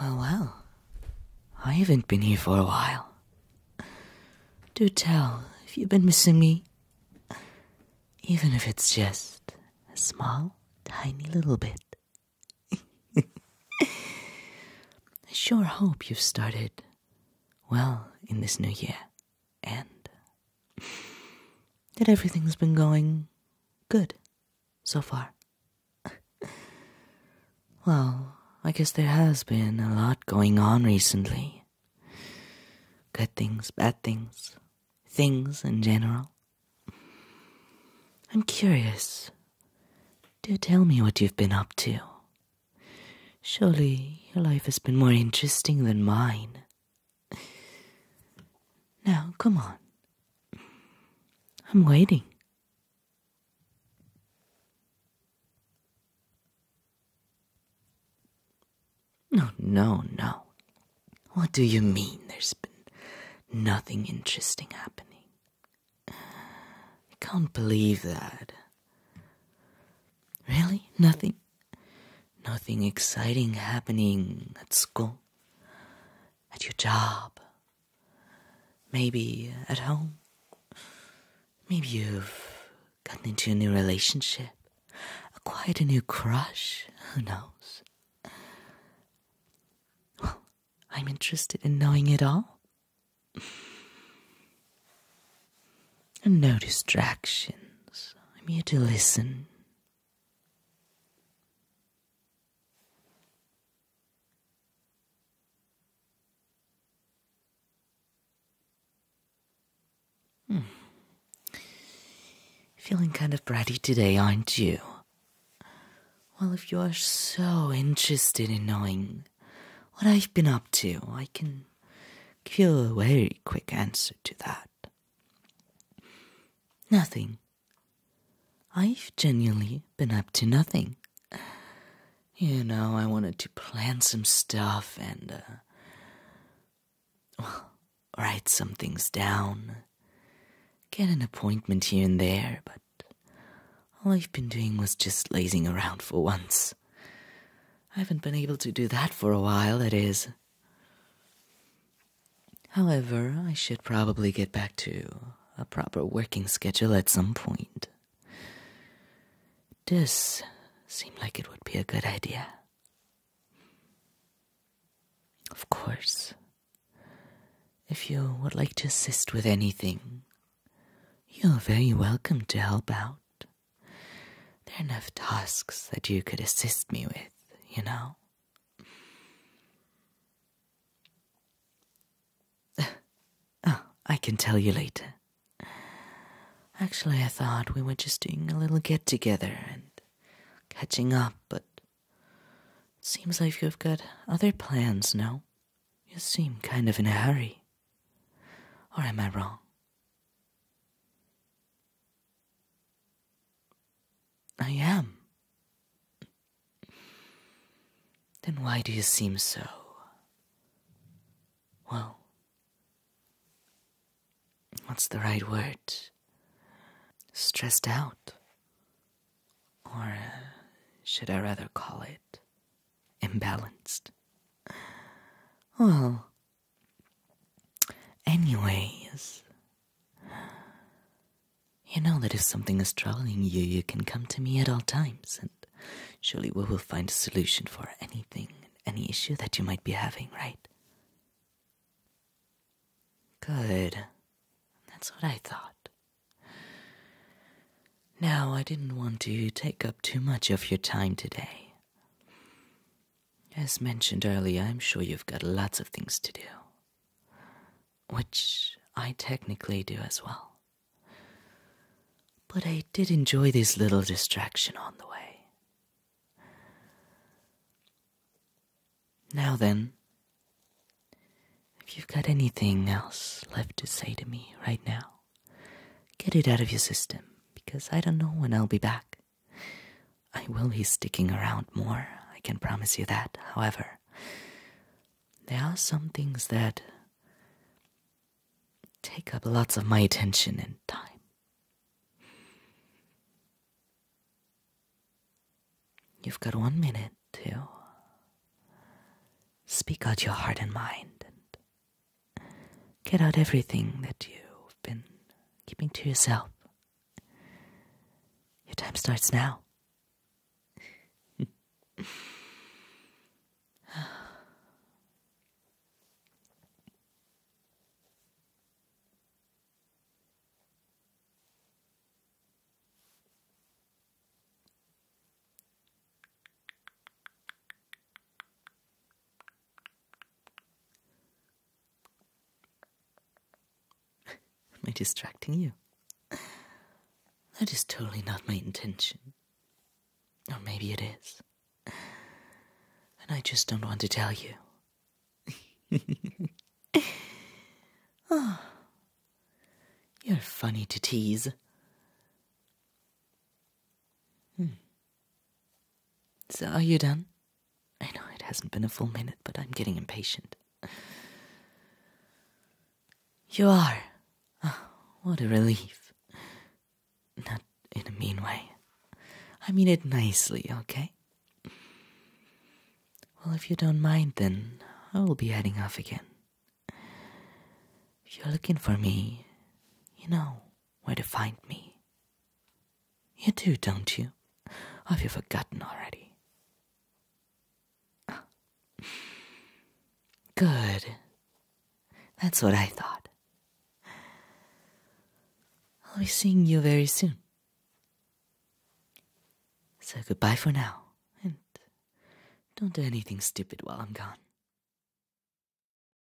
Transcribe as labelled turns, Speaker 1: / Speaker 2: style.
Speaker 1: Well, well, I haven't been here for a while. Do tell if you've been missing me, even if it's just a small, tiny little bit. I sure hope you've started well in this new year and that everything's been going good so far. well, I guess there has been a lot going on recently. Good things, bad things, things in general. I'm curious. Do tell me what you've been up to. Surely your life has been more interesting than mine. Now, come on, I'm waiting. No, no, no. What do you mean there's been nothing interesting happening? I can't believe that. Really? Nothing? Nothing exciting happening at school? at your job, maybe at home. Maybe you've gotten into a new relationship, acquired a new crush, who knows? Well, I'm interested in knowing it all. And no distractions. I'm here to listen. Hmm. Feeling kind of bratty today, aren't you? Well, if you are so interested in knowing what I've been up to, I can give you a very quick answer to that. Nothing. I've genuinely been up to nothing. You know, I wanted to plan some stuff and, uh, well, write some things down, get an appointment here and there, but all I've been doing was just lazing around for once. I haven't been able to do that for a while, that is. However, I should probably get back to a proper working schedule at some point. This seemed like it would be a good idea. Of course, if you would like to assist with anything, you're very welcome to help out. There are enough tasks that you could assist me with, you know? Oh, I can tell you later. Actually, I thought we were just doing a little get together and catching up, but seems like you've got other plans, now. You seem kind of in a hurry. Or am I wrong? I am. Then why do you seem so. well. what's the right word? Stressed out? Or uh, should I rather call it imbalanced? Well, Anyways, you know that if something is troubling you, you can come to me at all times, and surely we will find a solution for anything, any issue that you might be having, right? Good. That's what I thought. Now, I didn't want to take up too much of your time today. As mentioned earlier, I'm sure you've got lots of things to do, which I technically do as well. But I did enjoy this little distraction on the way. Now then, if you've got anything else left to say to me right now, get it out of your system because I don't know when I'll be back. I will be sticking around more, I can promise you that. However, there are some things that take up lots of my attention and time. You've got one minute to speak out your heart and mind and get out everything that you've been keeping to yourself. Your time starts now. Am I distracting you? That is totally not my intention. Or maybe it is. And I just don't want to tell you. oh, you're funny to tease. Hmm. So, are you done? I know it hasn't been a full minute, but I'm getting impatient. You are. Ah, what a relief. Not in a mean way. I mean it nicely, okay? Well, if you don't mind, then I will be heading off again. If you're looking for me, you know where to find me. You do, don't you? Have you forgotten already? Ah. Good. That's what I thought. I'll be seeing you very soon. So goodbye for now, and don't do anything stupid while I'm gone.